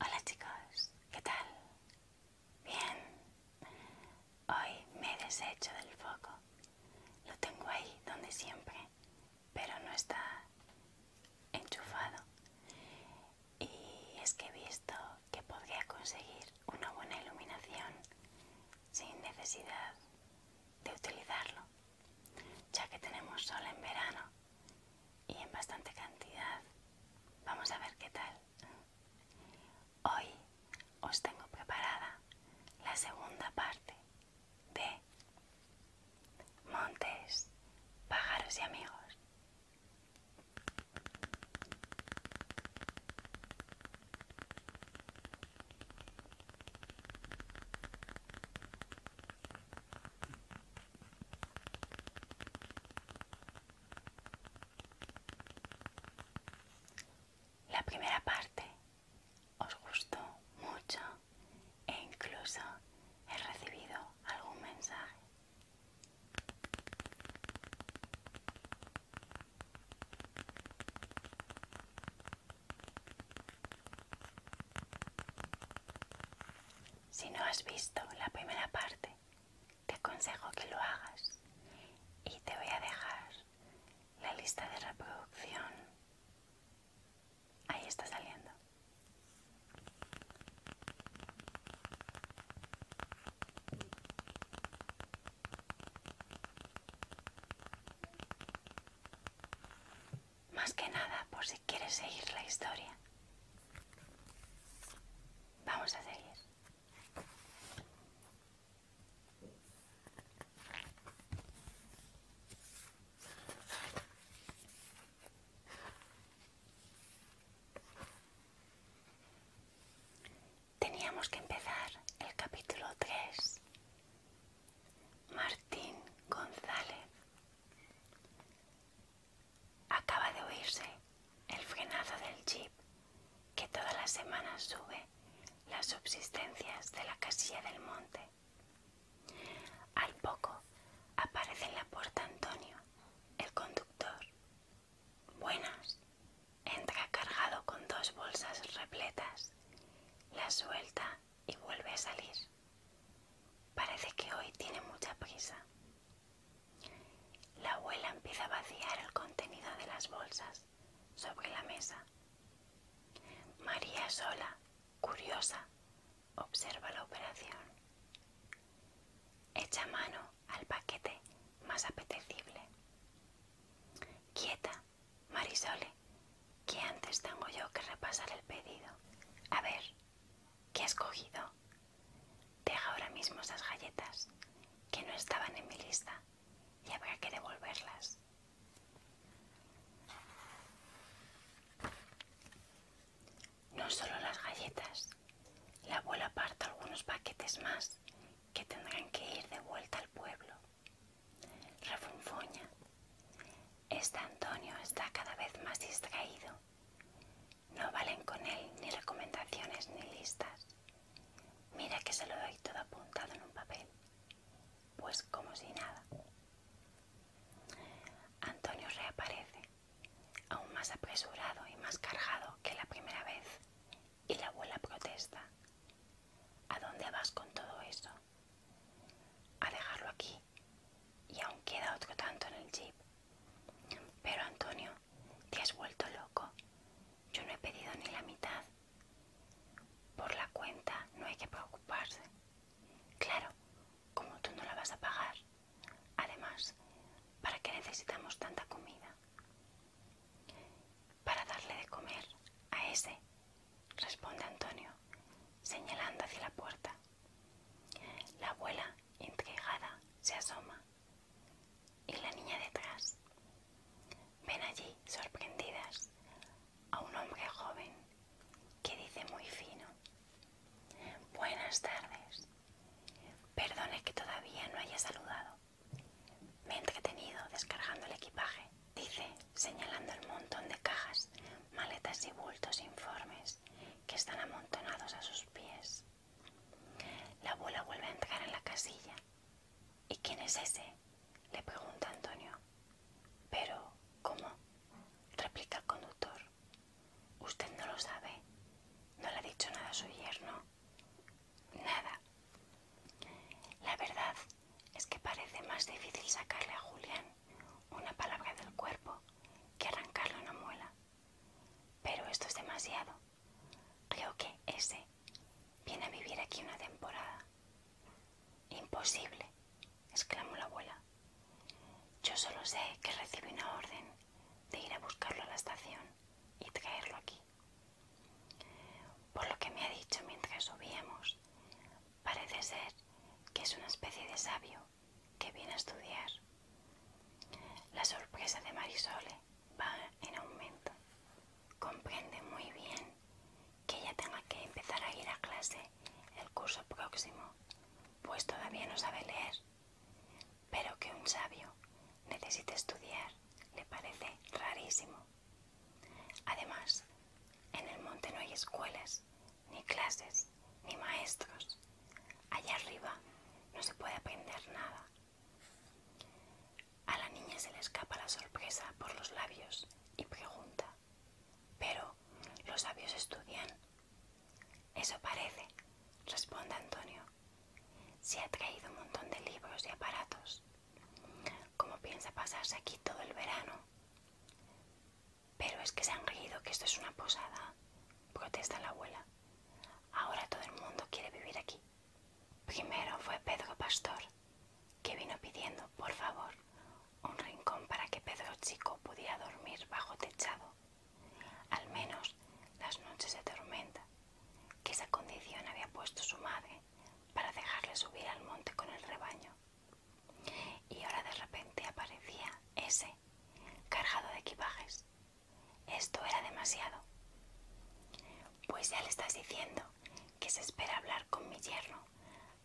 Hola chicos, ¿qué tal? Bien, hoy me he deshecho del foco. Lo tengo ahí donde siempre, pero no está enchufado. Y es que he visto que podría conseguir una buena iluminación sin necesidad de utilizarlo, ya que tenemos sol en verano y en bastante cantidad. Vamos a ver qué tal. Hoy os tengo preparada la segunda parte de Montes, pájaros y amigos. La primera parte os gustó mucho e incluso he recibido algún mensaje. Si no has visto la primera parte, te aconsejo que lo hagas y te voy a dejar la lista de reproducción. Ahí está saliendo. Más que nada por si quieres seguir la historia. Vamos a seguir. Teníamos que empezar el capítulo 3. Martín González Acaba de oírse el frenazo del jeep que todas las semanas sube las subsistencias de la casilla del monte. Al poco aparece en la puerta Antonio, el conductor. Buenas. Entra cargado con dos bolsas repletas, las suelta y vuelve a salir. Parece que hoy tiene mucha prisa. La abuela empieza a vaciar el contenido de las bolsas sobre la mesa. María sola, curiosa, observa la operación. Echa mano al paquete más apetecible. Quieta, Marisole, que antes tengo yo que repasar el pedido. A ver, ¿Qué has cogido? Deja ahora mismo esas galletas, que no estaban en mi lista, y habrá que devolverlas. No solo las galletas, la abuela aparta algunos paquetes más que tendrán que ir de vuelta al pueblo. Refunfuña. Este Antonio está cada vez más distraído. No valen con él ni recomendaciones ni listas. Mira que se lo doy todo apuntado en un papel. Pues como si nada. Antonio reaparece, aún más apresurado y más cargado que la primera vez, y la abuela protesta. ¿A dónde vas con todo eso? A dejarlo aquí, y aún queda otro tanto en el jeep. Pero Antonio, te has vuelto loco. Yo no he pedido ni la mitad. Por la cuenta no hay que preocuparse. Claro, como tú no la vas a pagar. Además, ¿para qué necesitamos tanta comida? Para darle de comer a ese, responde Antonio, señalando hacia la puerta. La abuela, intrigada, se asoma. Y la niña detrás. Ven allí, sorprendidas, a un hombre joven que dice muy fino. Buenas tardes. Perdone que todavía no haya saludado. Me he entretenido descargando el equipaje, dice, señalando el montón de cajas, maletas y bultos, informes que están amontonados a sus pies. La abuela vuelve a entrar en la casilla. ¿Y quién es ese? le pregunta Antonio. Pero, ¿cómo? replica el conductor. Usted no lo sabe. No le ha dicho nada a su yerno. Nada. La verdad es que parece más difícil sacarle a Julián una palabra del cuerpo que arrancarlo una muela. Pero esto es demasiado. Creo que ese viene a vivir aquí una temporada. Imposible, exclamó la abuela. Yo solo sé que recibí una orden de ir a buscarlo a la estación y traerlo aquí. Por lo que me ha dicho mientras subíamos, parece ser que es una especie de sabio que viene a estudiar. La sorpresa de Marisol ¿eh? va en aumento. Comprende muy bien que ella tenga que empezar a ir a clase el curso próximo, pues todavía no sabe leer, pero que un sabio necesite estudiar le parece rarísimo. Además, en el monte no hay escuelas ni clases, ni maestros. Allá arriba no se puede aprender nada. A la niña se le escapa la sorpresa por los labios y pregunta, pero los sabios estudian. Eso parece, responde Antonio. Se ha traído un montón de libros y aparatos. ¿Cómo piensa pasarse aquí todo el verano? Pero es que se han reído que esto es una posada, protesta la abuela. Ahora todo el mundo quiere vivir aquí. Primero fue Pedro Pastor, que vino pidiendo, por favor, un rincón para que Pedro Chico pudiera dormir bajo techado, al menos las noches de tormenta, que esa condición había puesto su madre para dejarle subir al monte con el rebaño. Y ahora de repente aparecía ese, cargado de equipajes. Esto era demasiado. Pues ya le estás diciendo que se espera hablar con mi yerno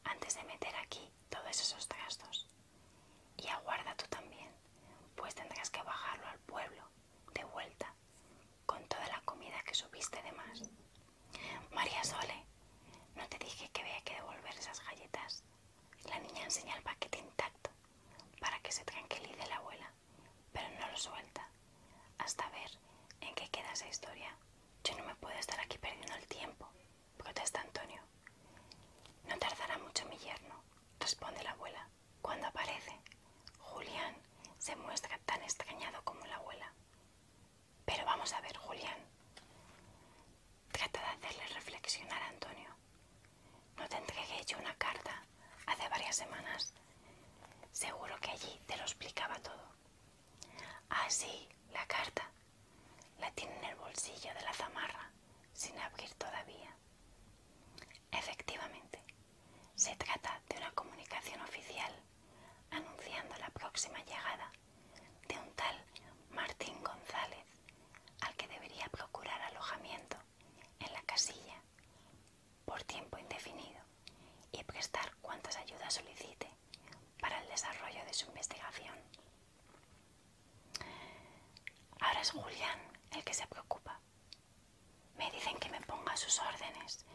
antes de meter aquí todos esos gastos. Y aguarda tú también, pues tendrás que bajarlo al pueblo, de vuelta, con toda la comida que subiste de más. María Sole, no te dije que había que devolver esas galletas. La niña enseña el paquete intacto para que se tranquilice la abuela, pero no lo suelta hasta ver en qué queda esa historia. Yo no me puedo estar aquí perdiendo el tiempo, protesta Antonio. No tardará mucho mi yerno, responde la abuela. Cuando aparece, Julián se muestra tan extrañado como la abuela. Pero vamos a ver, Julián. Trata de hacerle reflexionar a Antonio. No te entregué yo una carta hace varias semanas. Seguro que allí te lo explicaba todo. Así, ah, la carta. La tiene en el bolsillo de la zamarra, sin abrir todavía. Efectivamente, se trata de una comunicación oficial anunciando la próxima llegada de un tal Martín González, al que debería procurar alojamiento en la casilla por tiempo indefinido y prestar cuantas ayudas solicite para el desarrollo de su investigación. Ahora es Julián el que se preocupa. Me dicen que me ponga sus órdenes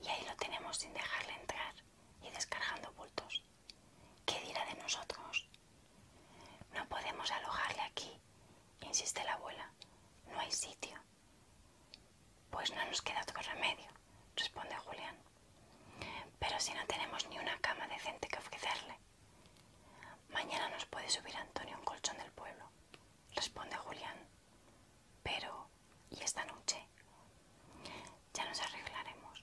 y ahí lo tenemos sin dejarle entrar y descargando bultos. ¿Qué dirá de nosotros? No podemos alojarle aquí, insiste la abuela. No hay sitio. Pues no nos queda otro remedio, responde Julián. Pero si no tenemos ni una cama decente que ofrecerle. Mañana nos puede subir Antonio un colchón del pueblo, responde Julián. Pero, ¿y esta noche? Ya nos arreglaremos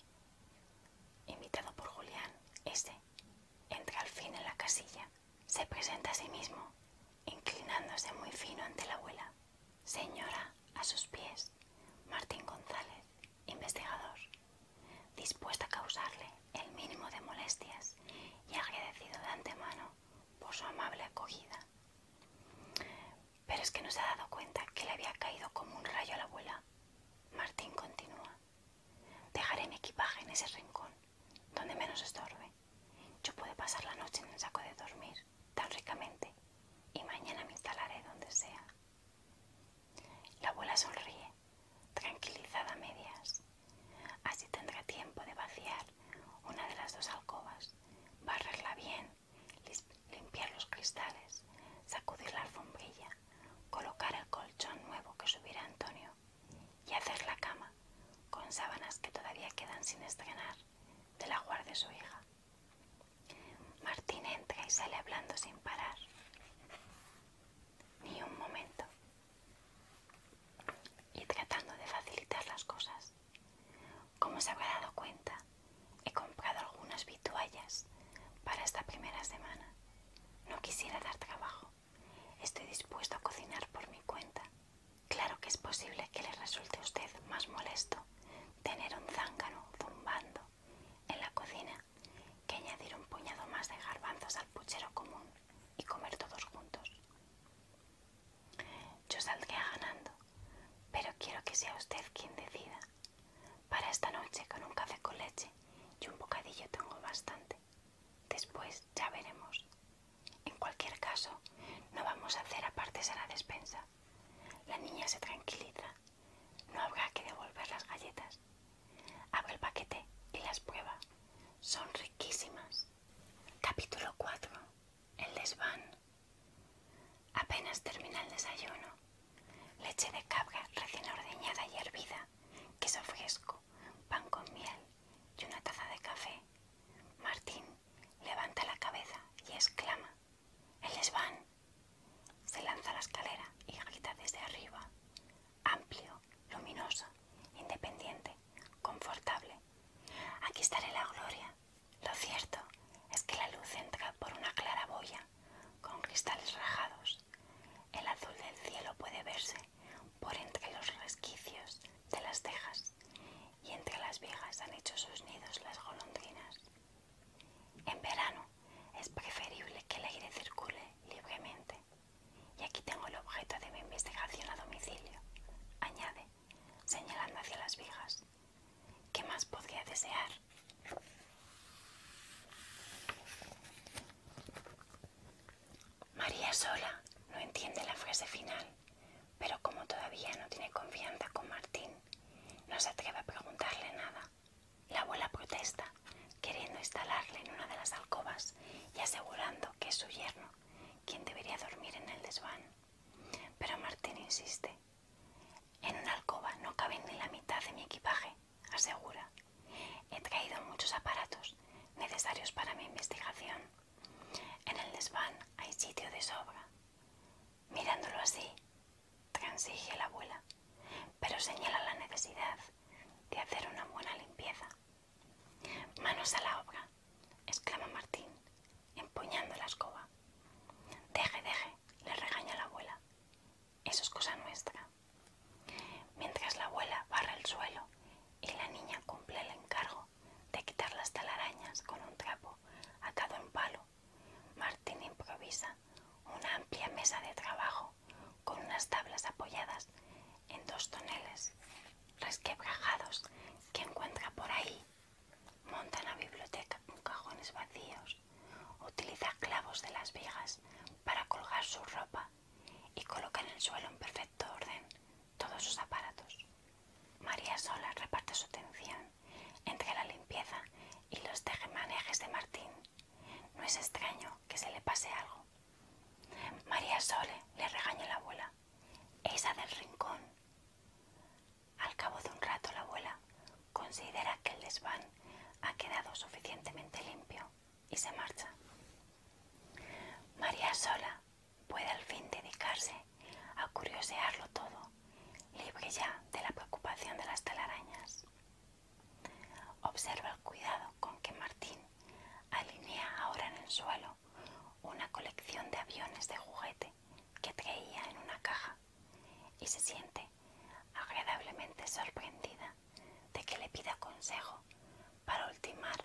invitado por Julián, ese entra al fin en la casilla, se presenta a sí mismo, inclinándose muy fino ante la abuela. Señora, a sus pies, Martín González, investigador, dispuesto a causarle el mínimo de molestias y agradecido de antemano por su amable acogida. Pero es que no se ha dado cuenta que le había caído como un rayo a la abuela Martín continúa. Dejaré mi equipaje en ese rincón, donde menos estorbe. Yo puedo pasar la noche en el saco de dormir, tan ricamente, y mañana me instalaré donde sea. La abuela sonríe, tranquilizada a medias. Así tendrá tiempo de vaciar una de las dos alcobas, barrerla bien, limpiar los cristales, sacudir la alfombrilla, colocar el colchón nuevo que subirá Antonio y hacer la cama con sábanas que todavía quedan sin estrenar de la guardia de su hija. Martín entra y sale hablando sin parar. Ni un momento. Y tratando de facilitar las cosas. Como se habrá dado cuenta, he comprado algunas vituallas para esta primera semana. No quisiera dar trabajo. Estoy dispuesto a cocinar por mi cuenta. Claro que es posible que le resulte a usted más molesto tener un zángano zumbando en la cocina que añadir un puñado más de garbanzos al puchero común y comer todos juntos. Yo saldría ganando, pero quiero que sea usted quien decida. Para esta noche con un café con leche y un bocadillo tengo bastante. Después ya veremos. En cualquier caso, no vamos a hacer apartes a la despensa. La niña se tranquiliza. No habrá que devolver las galletas. Abre el paquete y las prueba. Son riquísimas. Capítulo 4. El desván. Apenas termina el desayuno, leche de cabra recién ordeñada y hervida, queso fresco, pan con miel y una taza de café. Martín levanta la cabeza y exclama, ¡El van! Se lanza a la escalera y grita desde arriba, amplio, luminoso, independiente, confortable. Aquí estaré la gloria. Lo cierto es que la luz entra por una claraboya con cristales rajados. El azul del cielo puede verse por entre los resquicios de las tejas y entre las vigas han hecho sus nidos las golondrinas. En verano es preferible que el aire circule libremente. Y aquí tengo el objeto de mi investigación a domicilio, añade, señalando hacia las vigas. ¿Qué más podría desear? María sola no entiende la frase final, pero como todavía no tiene confianza con Martín, no se atreve a preguntarle nada. La abuela protesta, queriendo instalarle en una de las alcobas y asegurando que es su yerno quien debería dormir en el desván. Pero Martín insiste, en una alcoba no cabe ni la mitad de mi equipaje asegura. He traído muchos aparatos necesarios para mi investigación. En el desván hay sitio de sobra. Mirándolo así, transige la abuela, pero señala la necesidad de hacer una buena limpieza. Manos a la obra, exclama Martín, empuñando la escoba. Deje, deje, le regaña la abuela eso es cosa nuestra. Mientras la abuela barra el suelo y la niña cumple el encargo de quitar las talarañas con un trapo atado en palo, Martín improvisa una amplia mesa de trabajo con unas tablas apoyadas en dos toneles resquebrajados que encuentra por ahí. Monta en la biblioteca con cajones vacíos utiliza clavos de las vigas para colgar su ropa y coloca en el suelo en perfecto orden todos sus aparatos. María Sola reparte su atención entre la limpieza y los tejemanejes de Martín. No es extraño que se le pase algo. María Sole le regaña la abuela. Esa del rincón. Al cabo de un rato la abuela considera que el desván ha quedado suficientemente limpio y se marcha. María sola puede al fin dedicarse a curiosearlo todo, libre ya de la preocupación de las telarañas. Observa el cuidado con que Martín alinea ahora en el suelo una colección de aviones de juguete que traía en una caja y se siente agradablemente sorprendida de que le pida consejo para ultimar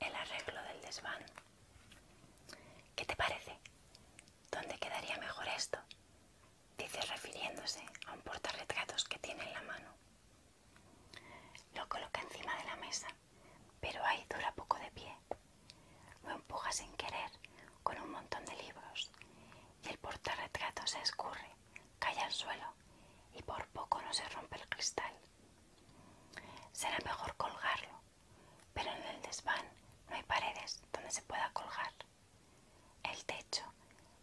el arreglo del desván. ¿Qué te parece? ¿Dónde quedaría mejor esto? dice refiriéndose a un portarretratos que tiene en la mano. Lo coloca encima de la mesa, pero ahí dura poco de pie. Lo empuja sin querer con un montón de libros y el portarretrato se escurre, cae al suelo y por poco no se rompe el cristal. Será mejor colgarlo, pero en el desván no hay paredes donde se pueda colgar. El techo,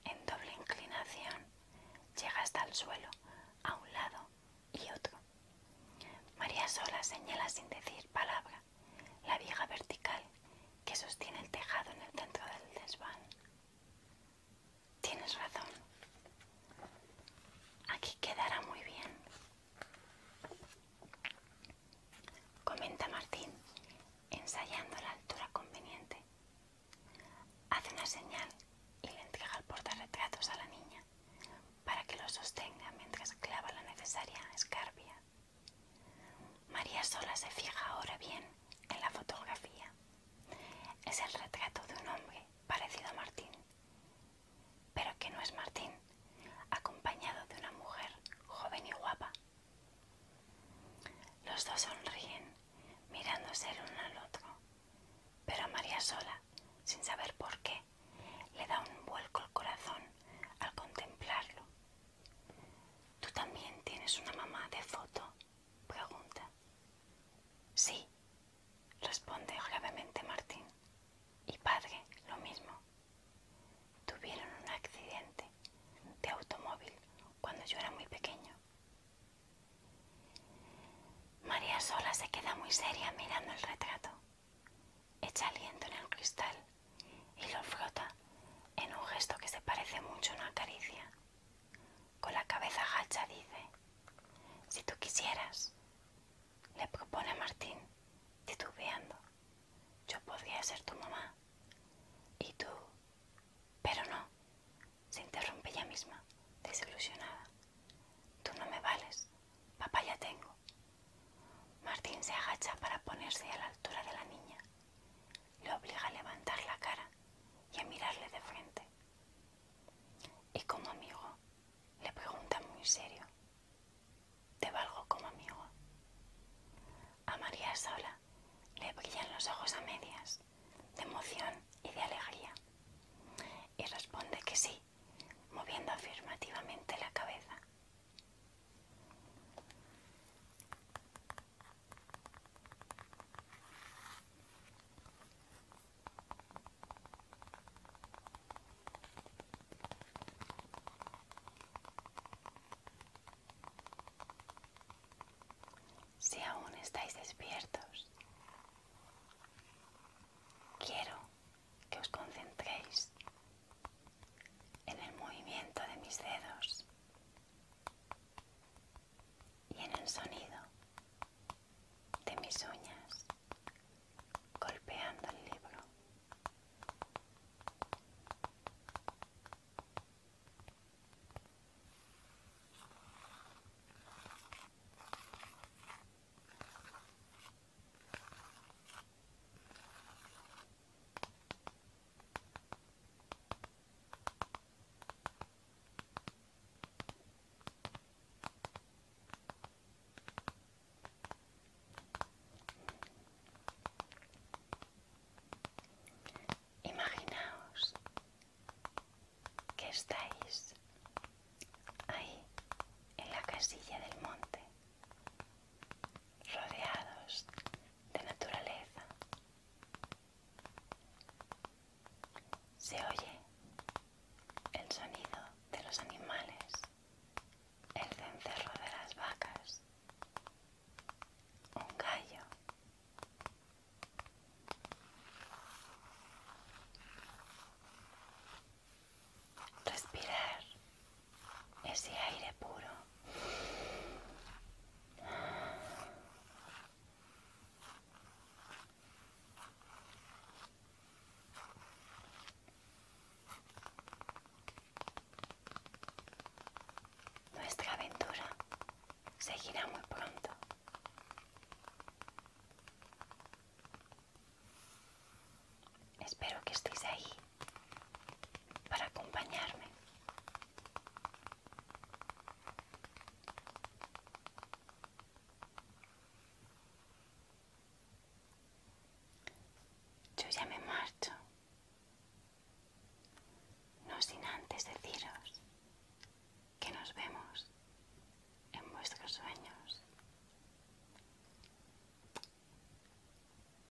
en doble inclinación, llega hasta el suelo, a un lado y otro. María sola señala sin decir palabra la viga vertical que sostiene el tejado en el centro del desván. Tienes razón. Aquí quedará muy bien. Comenta Martín, ensayando la altura conveniente. Hace una señal y le entrega el retratos a la niña para que lo sostenga mientras clava la necesaria escarpia. María Sola se fija ahora bien en la fotografía. Es el retrato de un hombre parecido a Martín, pero que no es Martín, acompañado de una mujer joven y guapa. Los dos sonríen, mirándose el uno al otro, pero a María Sola, sin saber por qué, le da un vuelco el corazón al contemplarlo ¿Tú también tienes una mamá de foto? pregunta. Sí, responde gravemente Martín. Y padre, lo mismo. Tuvieron un accidente de automóvil cuando yo era muy pequeño. María sola se queda muy seria mirando el retrato. Echa aliento en el cristal y lo frota en un gesto que se parece mucho a una caricia. Con la cabeza agacha dice, si tú quisieras, le propone a Martín, titubeando, yo podría ser tu mamá. Y tú, pero no, se interrumpe ella misma, desilusionada. Tú no me vales, papá ya tengo. Martín se agacha para ponerse a la altura de la niña le obliga a levantar la cara y a mirarle de frente. Y como amigo, le pregunta muy serio, ¿te valgo como amigo? A María Sola le brillan los ojos a medias, de emoción y de alegría, y responde que sí, moviendo afirmativamente la cabeza. Si aún estáis despiertos, quiero que os concentréis en el movimiento de mis dedos y en el sonido de mis uñas golpeando el libro. Imaginaos que estáis ahí en la casilla del monte rodeados de naturaleza. Se oye el sonido de los animales, el cencerro de las vacas, un gallo. Respirar ese aire puro. Nuestra aventura seguirá muy pronto. Espero que estéis ahí para acompañarme. Yo ya me marcho, no sin antes deciros que nos vemos en vuestros sueños.